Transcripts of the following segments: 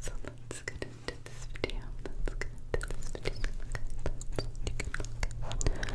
So let's get into this video. Let's get into this video. You can look at this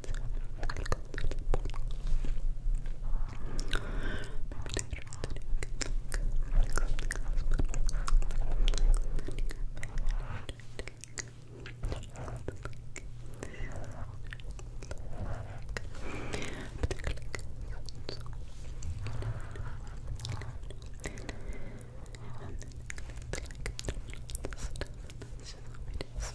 Stuff and that's just what it is.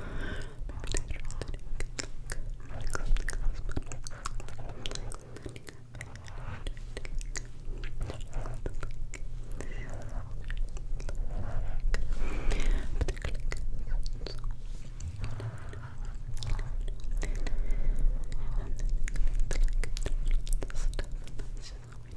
Stuff and that's just what we